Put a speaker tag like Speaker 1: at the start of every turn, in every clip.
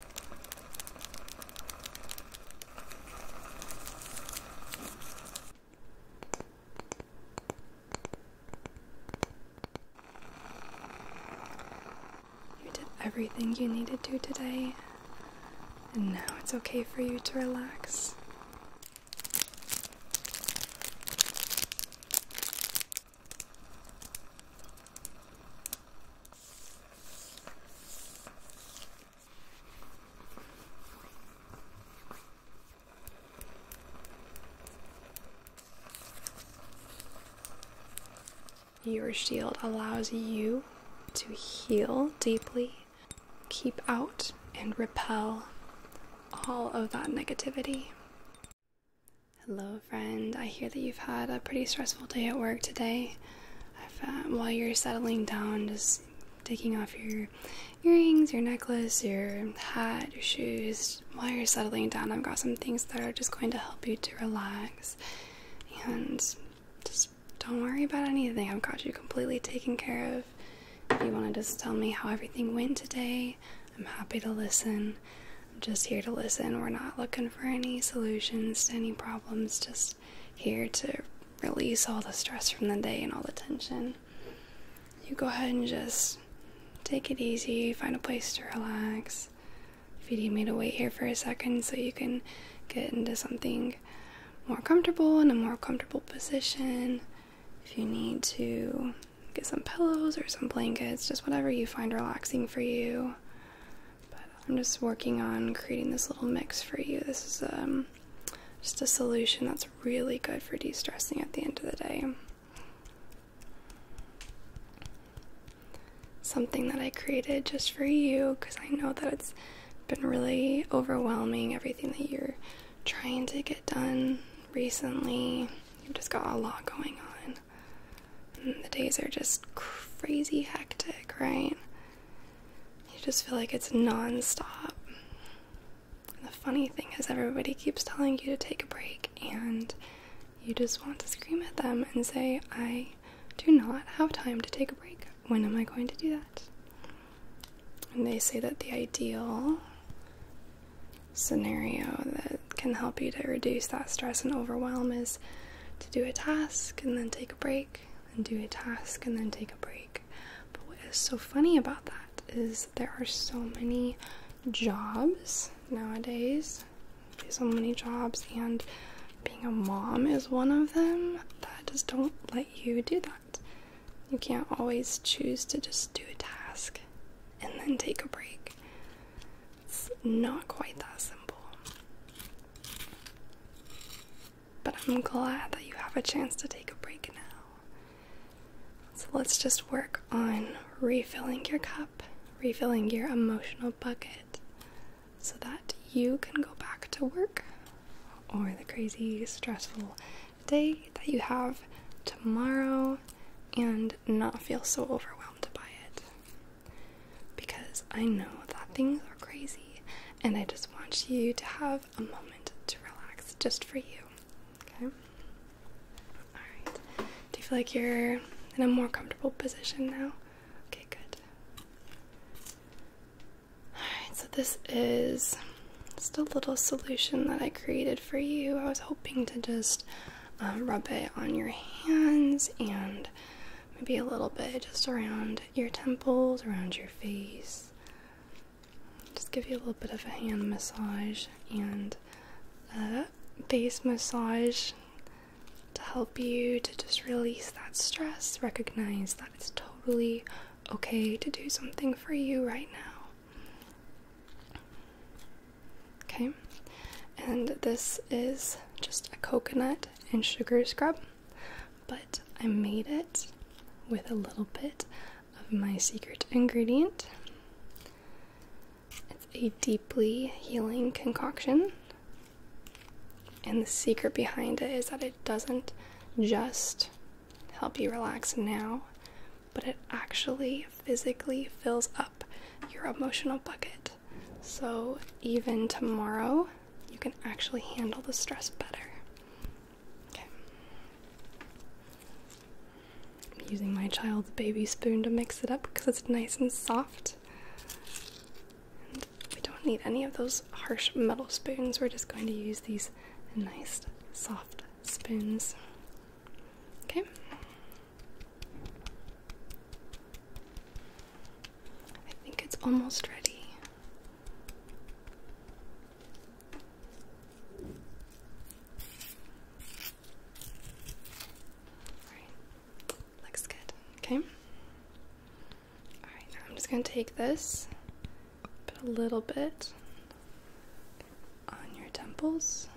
Speaker 1: You did everything you needed to today, and now it's okay for you to relax. Your shield allows you to heal deeply, keep out, and repel all of that negativity. Hello, friend. I hear that you've had a pretty stressful day at work today. Um, while you're settling down, just taking off your earrings, your necklace, your hat, your shoes. While you're settling down, I've got some things that are just going to help you to relax. And just don't worry about anything. I've got you completely taken care of. If you want to just tell me how everything went today, I'm happy to listen just here to listen. We're not looking for any solutions to any problems, just here to release all the stress from the day and all the tension. You go ahead and just take it easy, find a place to relax. If you need me to wait here for a second so you can get into something more comfortable in a more comfortable position, if you need to get some pillows or some blankets, just whatever you find relaxing for you. But I'm just working on creating this little mix for you. This is um, just a solution that's really good for de stressing at the end of the day. Something that I created just for you because I know that it's been really overwhelming everything that you're trying to get done recently. You've just got a lot going on. Mm, the days are just crazy hectic, right? You just feel like it's nonstop. the funny thing is, everybody keeps telling you to take a break, and you just want to scream at them and say, I do not have time to take a break. When am I going to do that? And they say that the ideal scenario that can help you to reduce that stress and overwhelm is to do a task and then take a break and do a task and then take a break. But what is so funny about that is there are so many jobs nowadays, so many jobs, and being a mom is one of them that just don't let you do that. You can't always choose to just do a task and then take a break. It's not quite that simple. But I'm glad that you have a chance to take a break now. So let's just work on refilling your cup, refilling your emotional bucket, so that you can go back to work or the crazy, stressful day that you have tomorrow and not feel so overwhelmed by it because I know that things are crazy and I just want you to have a moment to relax just for you. Okay? Alright. Do you feel like you're in a more comfortable position now? Okay, good. Alright, so this is just a little solution that I created for you. I was hoping to just uh, rub it on your hands and maybe a little bit just around your temples, around your face. Just give you a little bit of a hand massage and a face massage to help you to just release that stress, recognize that it's totally okay to do something for you right now okay? And this is just a coconut and sugar scrub, but I made it with a little bit of my secret ingredient. It's a deeply healing concoction, and the secret behind it is that it doesn't just help you relax now, but it actually physically fills up your emotional bucket so even tomorrow you can actually handle the stress better. Okay. I'm using my child's baby spoon to mix it up because it's nice and soft. we don't need any of those harsh metal spoons. We're just going to use these nice soft spoons. Okay. I think it's almost ready. Alright, looks good. Okay? Alright, I'm just going to take this, put a little bit on your temples.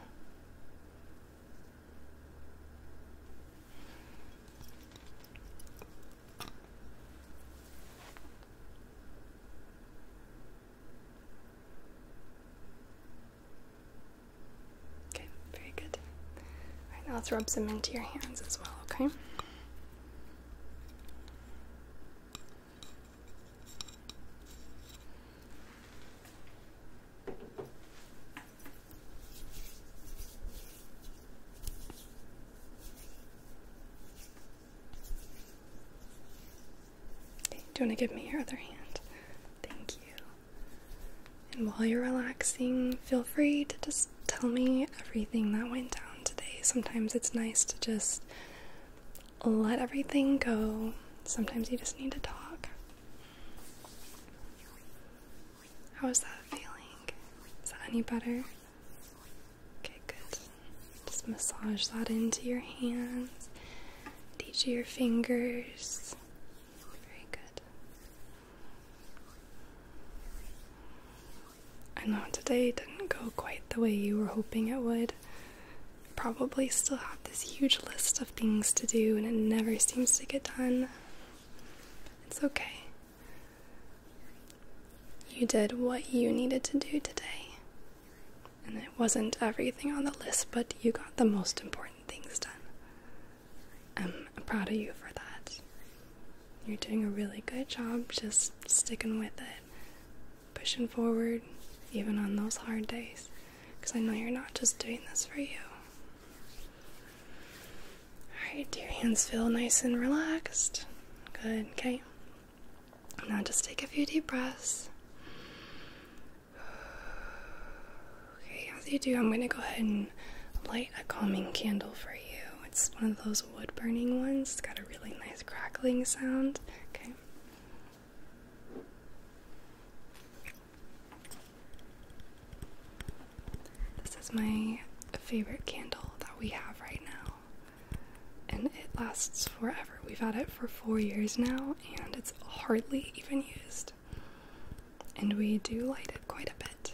Speaker 1: Okay, very good. now let's rub some into your hands as well, okay? do you want to give me your other hand? Thank you. And while you're relaxing, feel free to just tell me everything that went down today. Sometimes it's nice to just let everything go. Sometimes you just need to talk. How is that feeling? Is that any better? Okay, good. Just massage that into your hands, and each your fingers. Very good. I know today didn't go quite the way you were hoping it would. Probably still have this huge list of things to do and it never seems to get done. It's okay. You did what you needed to do today. And it wasn't everything on the list, but you got the most important things done. I'm proud of you for that. You're doing a really good job just sticking with it, pushing forward, even on those hard days, because I know you're not just doing this for you. Alright, do your hands feel nice and relaxed? Good, okay. Now just take a few deep breaths. Okay, as you do, I'm going to go ahead and light a calming candle for you. It's one of those wood burning ones, it's got a really nice crackling sound. Okay. This is my favorite candle that we have right now, and it lasts forever. We've had it for four years now, and it's hardly even used. And we do light it quite a bit.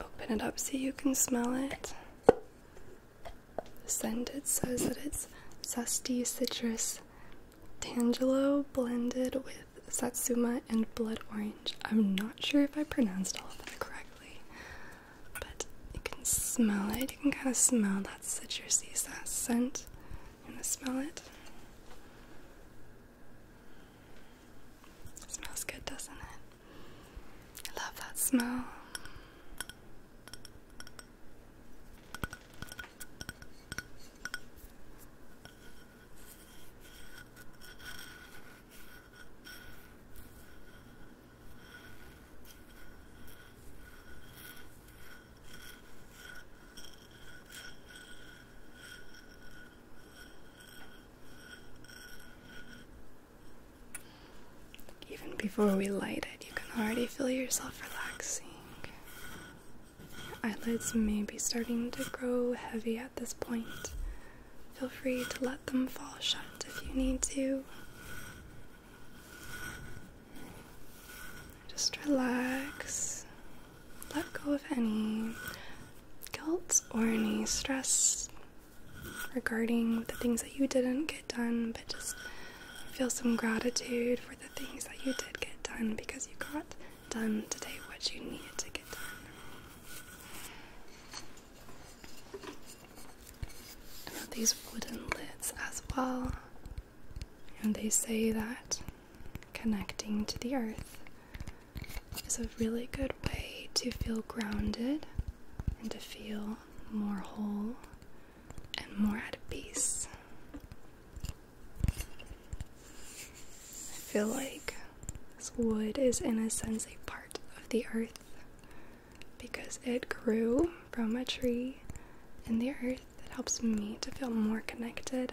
Speaker 1: open it up so you can smell it. The scent it says that it's zesty citrus Tangelo blended with Satsuma and Blood Orange. I'm not sure if I pronounced all of that correctly, but you can smell it. You can kind of smell that citrusy that scent. You want to smell it? Smells good, doesn't it? I love that smell. Even before we light it, you can already feel yourself relaxing eyelids may be starting to grow heavy at this point. Feel free to let them fall shut if you need to. Just relax. Let go of any guilt or any stress regarding the things that you didn't get done, but just feel some gratitude for the things that you did get done because you got done today what you needed to get done. these wooden lids as well. And they say that connecting to the earth is a really good way to feel grounded and to feel more whole and more at peace. I feel like this wood is, in a sense, a part of the earth because it grew from a tree in the earth. It helps me to feel more connected.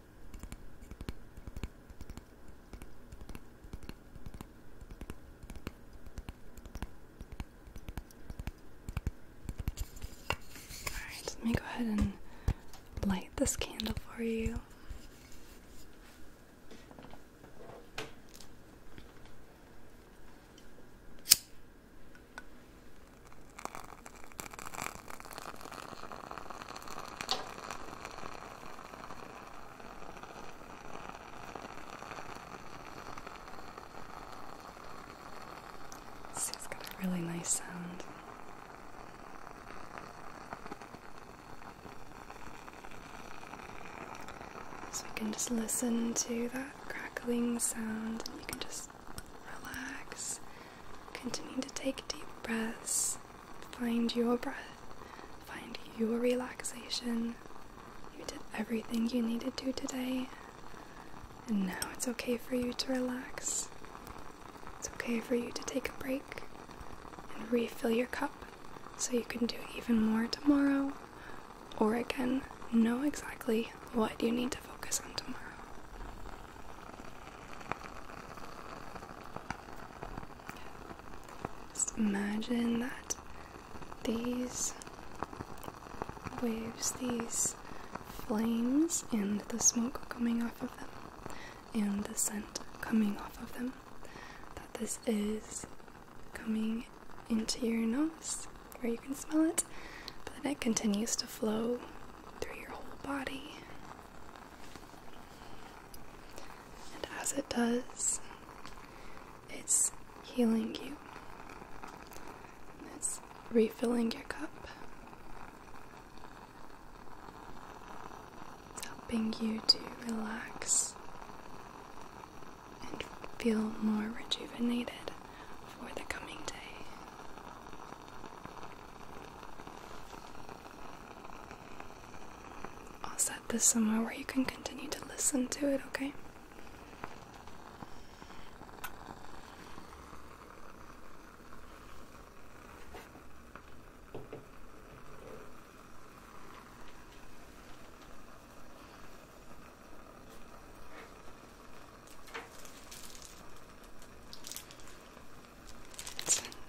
Speaker 1: Alright, let me go ahead and light this candle for you. See, has got a really nice sound. So we can just listen to that crackling sound, and you can just relax. Continue to take deep breaths. Find your breath. Find your relaxation. You did everything you needed to today. And now it's okay for you to relax. It's okay for you to take a break and refill your cup so you can do even more tomorrow or again know exactly what you need to focus on tomorrow. Just imagine that these waves, these flames, and the smoke coming off of them, and the scent coming off of them, that this is coming into your nose where you can smell it, but then it continues to flow through your whole body. And as it does, it's healing you. It's refilling your cup. It's helping you to relax and feel more rejuvenated for the coming day. I'll set this somewhere where you can continue to listen to it, okay?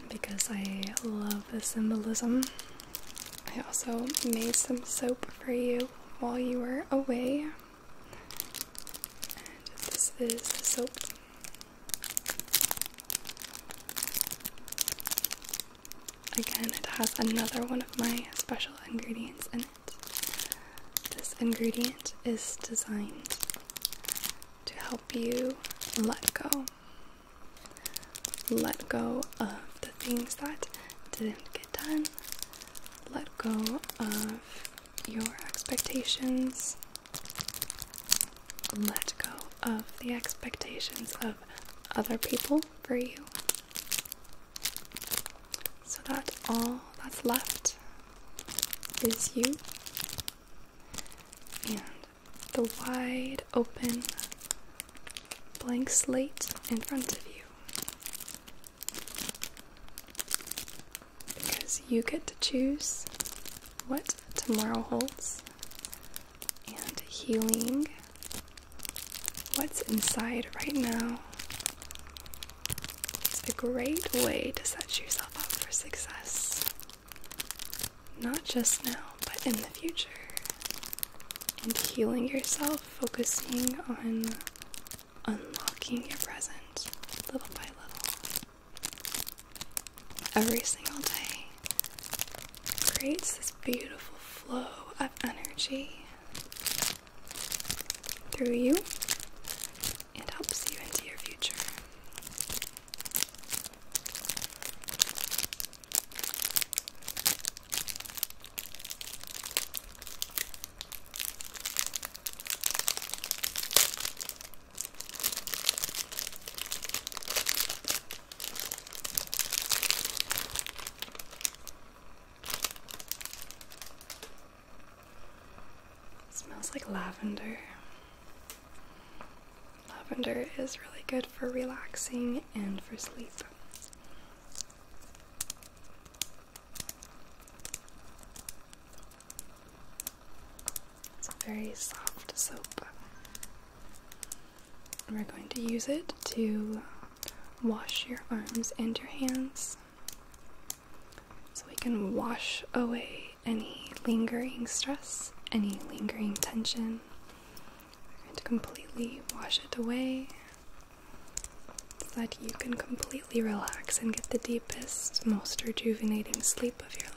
Speaker 1: because I love the symbolism. I also made some soap for you while you were away. And this is the soap. Again, it has another one of my special ingredients in it. This ingredient is designed to help you let go. Let go of the things that didn't get done. Let go of your expectations. Let go of the expectations of other people for you. So that all that's left is you and the wide open blank slate in front of you. Because you get to choose what tomorrow holds and healing what's inside right now it's a great way to set yourself up for success. Not just now, but in the future. And healing yourself, focusing on unlocking your present little by little. Every single day creates this beautiful flow of energy through you and helps you into your future smells like lavender. Lavender is really good for relaxing and for sleep. It's a very soft soap. we're going to use it to wash your arms and your hands so we can wash away any lingering stress, any lingering tension. and completely wash it away so that you can completely relax and get the deepest, most rejuvenating sleep of your life.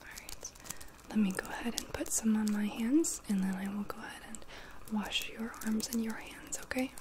Speaker 1: Alright, let me go ahead and put some on my hands, and then I will go ahead and wash your arms and your hands, okay?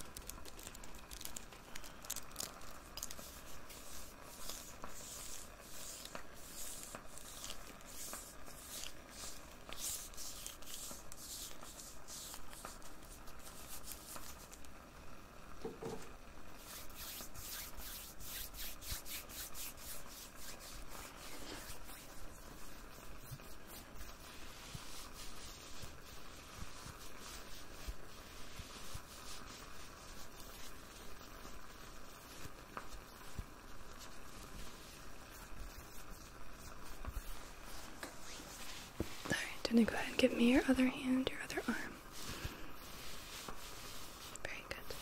Speaker 1: All right, and go ahead and give me your other hand, your other arm. Very good.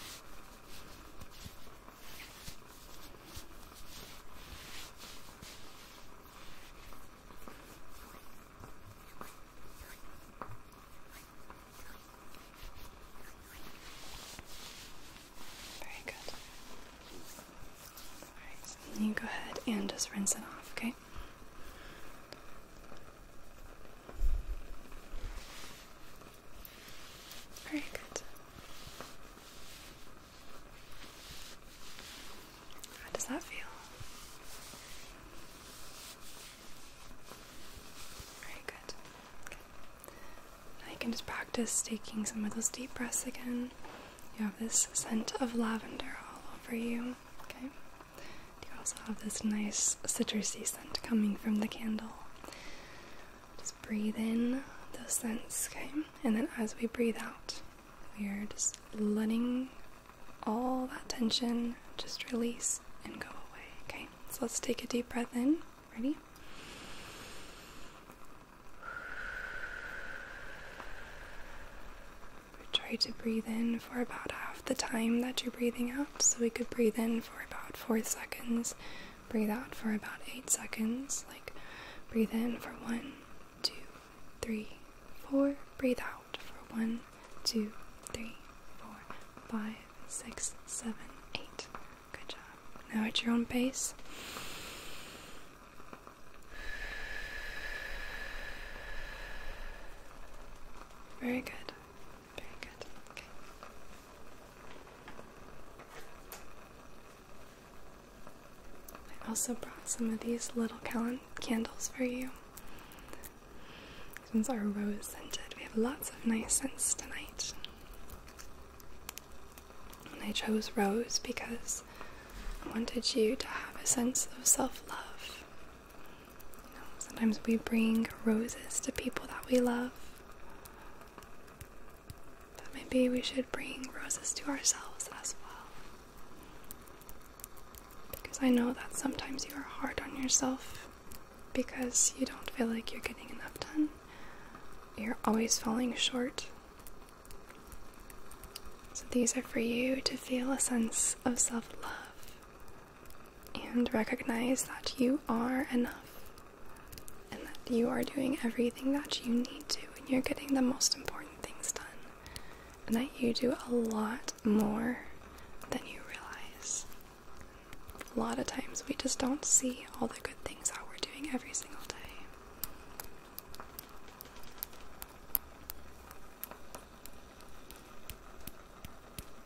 Speaker 1: Very good. Alright, so then you go ahead and just rinse it off, okay? Very good. How does that feel? Very good. Now you can just practice taking some of those deep breaths again. You have this scent of lavender all over you. Okay. You also have this nice citrusy scent coming from the candle. Just breathe in those scents, okay? And then as we breathe out, we are just letting all that tension just release and go away, okay? So let's take a deep breath in. Ready? try to breathe in for about half the time that you're breathing out. So we could breathe in for about four seconds, breathe out for about eight seconds. Like breathe in for one, two, three, four, breathe out for one, two, three, four, five, six, seven, eight. Good job. Now at your own pace. Very good. Very good. Okay. I also brought some of these little candles for you. These ones are rose scented. We have lots of nice scents tonight. And I chose rose because I wanted you to have a sense of self love sometimes we bring roses to people that we love. But maybe we should bring roses to ourselves as well. Because I know that sometimes you are hard on yourself because you don't feel like you're getting enough done. You're always falling short. So these are for you to feel a sense of self love and recognize that you are enough and that you are doing everything that you need to and you're getting the most important things done and that you do a lot more than you realize. A lot of times we just don't see all the good things that we're doing every single day.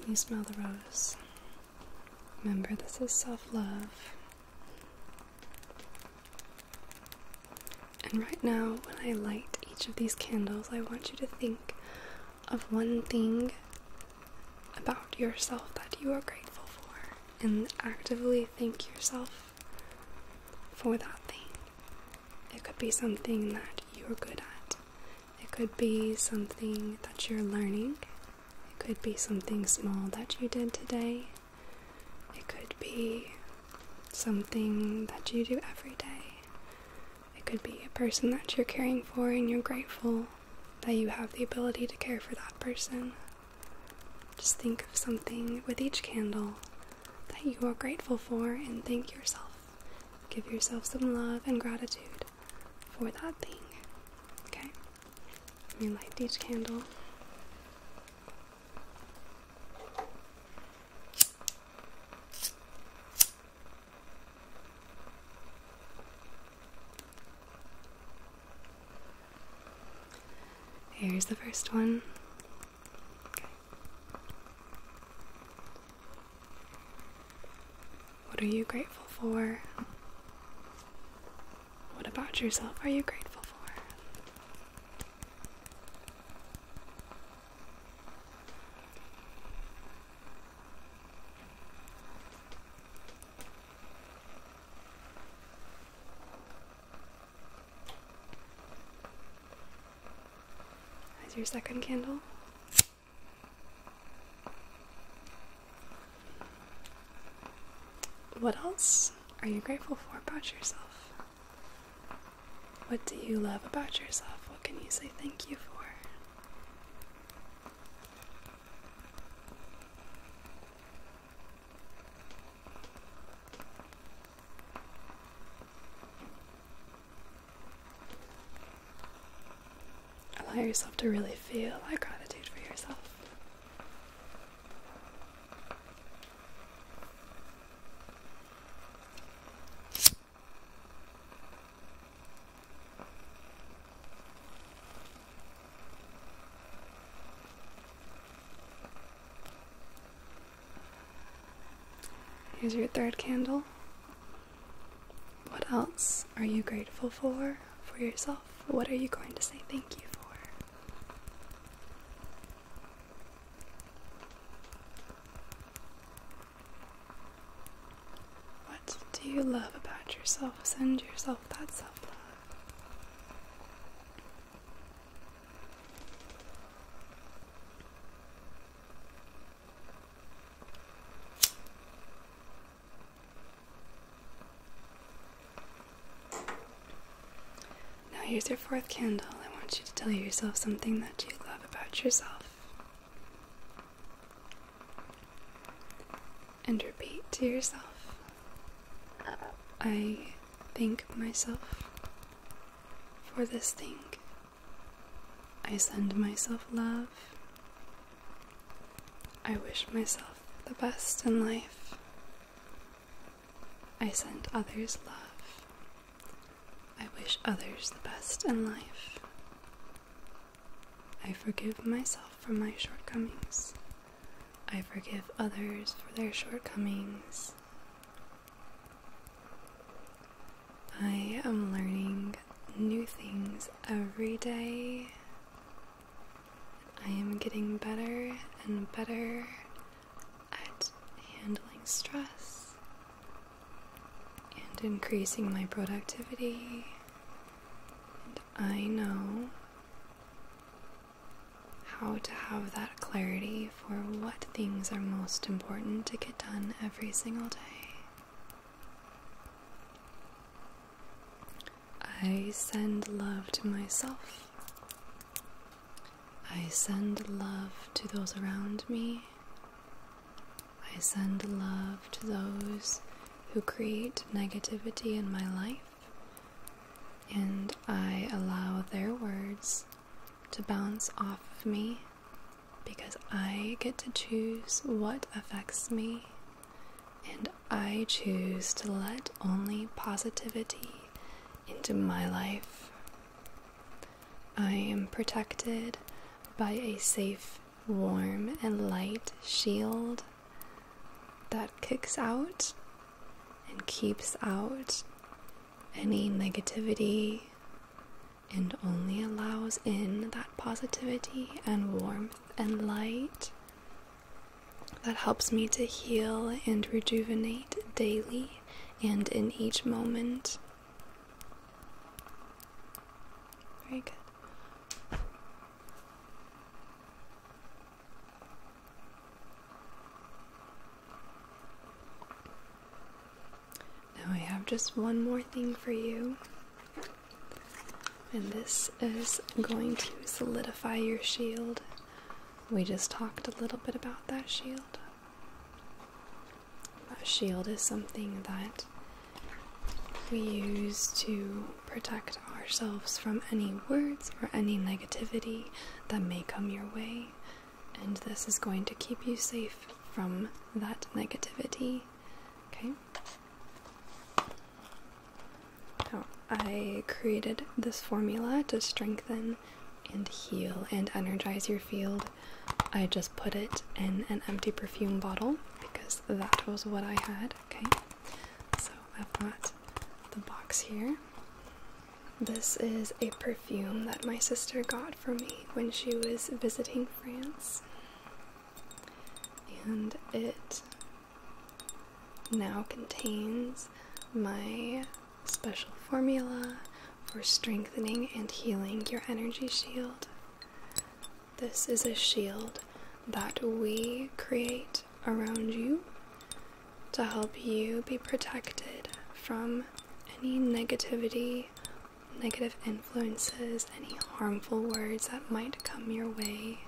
Speaker 1: Can you smell the rose? Remember, this is self love. And right now, when I light each of these candles, I want you to think of one thing about yourself that you are grateful for and actively thank yourself for that thing. It could be something that you're good at, it could be something that you're learning, it could be something small that you did today, it could be something that you do every day. It could be a person that you're caring for and you're grateful that you have the ability to care for that person. Just think of something with each candle that you are grateful for and thank yourself. Give yourself some love and gratitude for that thing. Okay? You light each candle. Here's the first one. What are you grateful for? What about yourself are you grateful for? There's your second candle. What else are you grateful for about yourself? What do you love about yourself? What can you say thank you for? Allow yourself to really feel that gratitude for yourself. Here's your third candle. What else are you grateful for for yourself? What are you going to say thank you for? What do you love about yourself? Send yourself Oh, that's self love. Now, here's your fourth candle. I want you to tell yourself something that you love about yourself and repeat to yourself uh, I thank myself for this thing. I send myself love. I wish myself the best in life. I send others love. I wish others the best in life. I forgive myself for my shortcomings. I forgive others for their shortcomings. I am learning new things every day. I am getting better and better at handling stress and increasing my productivity I know how to have that clarity for what things are most important to get done every single day. I send love to myself. I send love to those around me. I send love to those who create negativity in my life, and I allow their words to bounce off of me because I get to choose what affects me, and I choose to let only positivity into my life. I am protected by a safe warm and light shield that kicks out and keeps out any negativity and only allows in that positivity and warmth and light that helps me to heal and rejuvenate daily and in each moment. Very good. Now, I have just one more thing for you, and this is going to solidify your shield. We just talked a little bit about that shield. That shield is something that we use to protect ourselves from any words or any negativity that may come your way. And this is going to keep you safe from that negativity. Okay? Now, I created this formula to strengthen and heal and energize your field. I just put it in an empty perfume bottle because that was what I had. Okay? So I've got the box here. This is a perfume that my sister got for me when she was visiting France. And it now contains my special formula for strengthening and healing your energy shield. This is a shield that we create around you to help you be protected from any negativity, negative influences, any harmful words that might come your way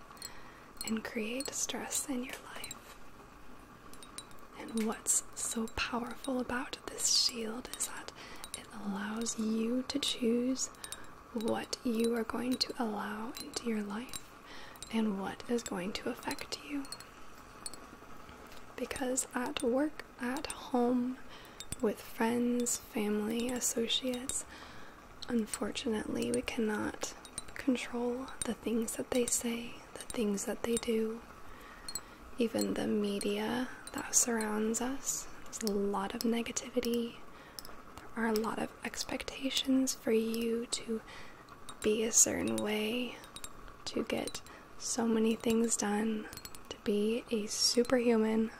Speaker 1: and create stress in your life. And what's so powerful about this shield is that it allows you to choose what you are going to allow into your life and what is going to affect you. Because at work, at home, with friends, family, associates, unfortunately, we cannot control the things that they say, the things that they do, even the media that surrounds us. There's a lot of negativity, there are a lot of expectations for you to be a certain way, to get so many things done, to be a superhuman.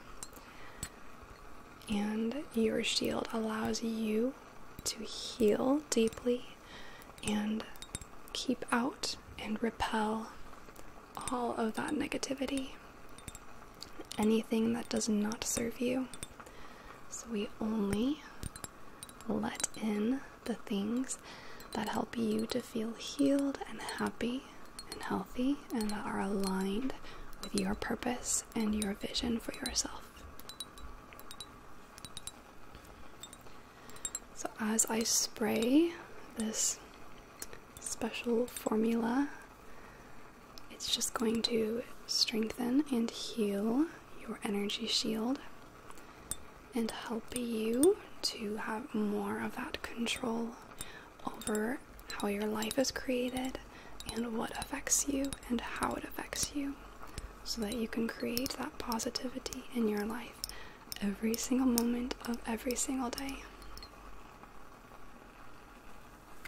Speaker 1: And your shield allows you to heal deeply and keep out and repel all of that negativity anything that does not serve you. So we only let in the things that help you to feel healed and happy and healthy and that are aligned with your purpose and your vision for yourself. So, as I spray this special formula it's just going to strengthen and heal your energy shield and help you to have more of that control over how your life is created and what affects you and how it affects you so that you can create that positivity in your life every single moment of every single day.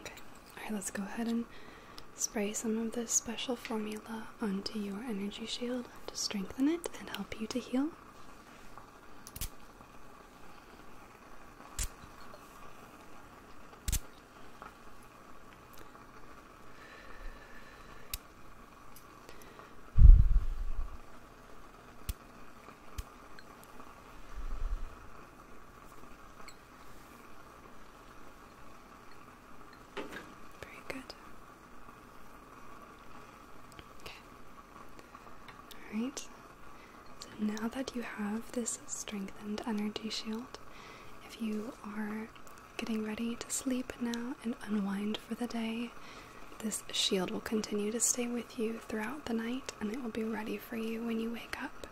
Speaker 1: Okay, alright, let's go ahead and spray some of this special formula onto your energy shield to strengthen it and help you to heal. Very good. Okay. Alright. So now that you have this strengthened energy shield, if you are getting ready to sleep now and unwind for the day. This shield will continue to stay with you throughout the night and it will be ready for you when you wake up.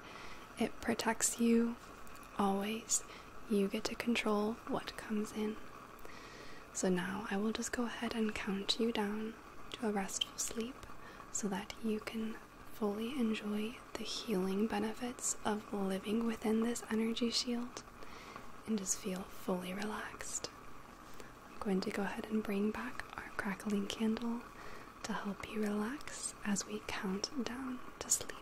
Speaker 1: It protects you always. You get to control what comes in. So now I will just go ahead and count you down to a restful sleep so that you can fully enjoy the healing benefits of living within this energy shield and just feel fully relaxed. I'm going to go ahead and bring back our crackling candle to help you relax as we count down to sleep.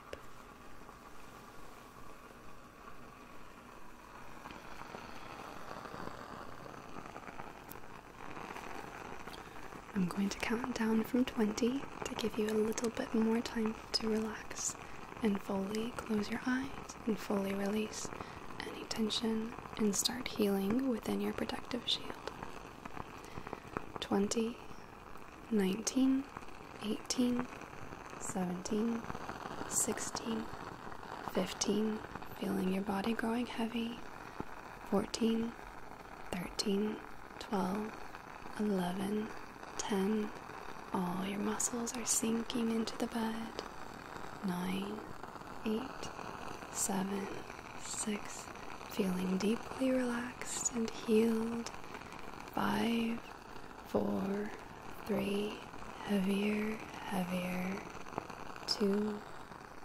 Speaker 1: I'm going to count down from 20 to give you a little bit more time to relax and fully close your eyes and fully release any tension and start healing within your protective shield. 20, 19, 18, 17, 16, 15, feeling your body growing heavy, 14, 13, 12, 11, Ten. All your muscles are sinking into the bed. Nine, eight, seven, six. Feeling deeply relaxed and healed. Five, four, three. Heavier, heavier. Two,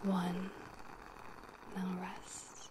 Speaker 1: one. Now rest.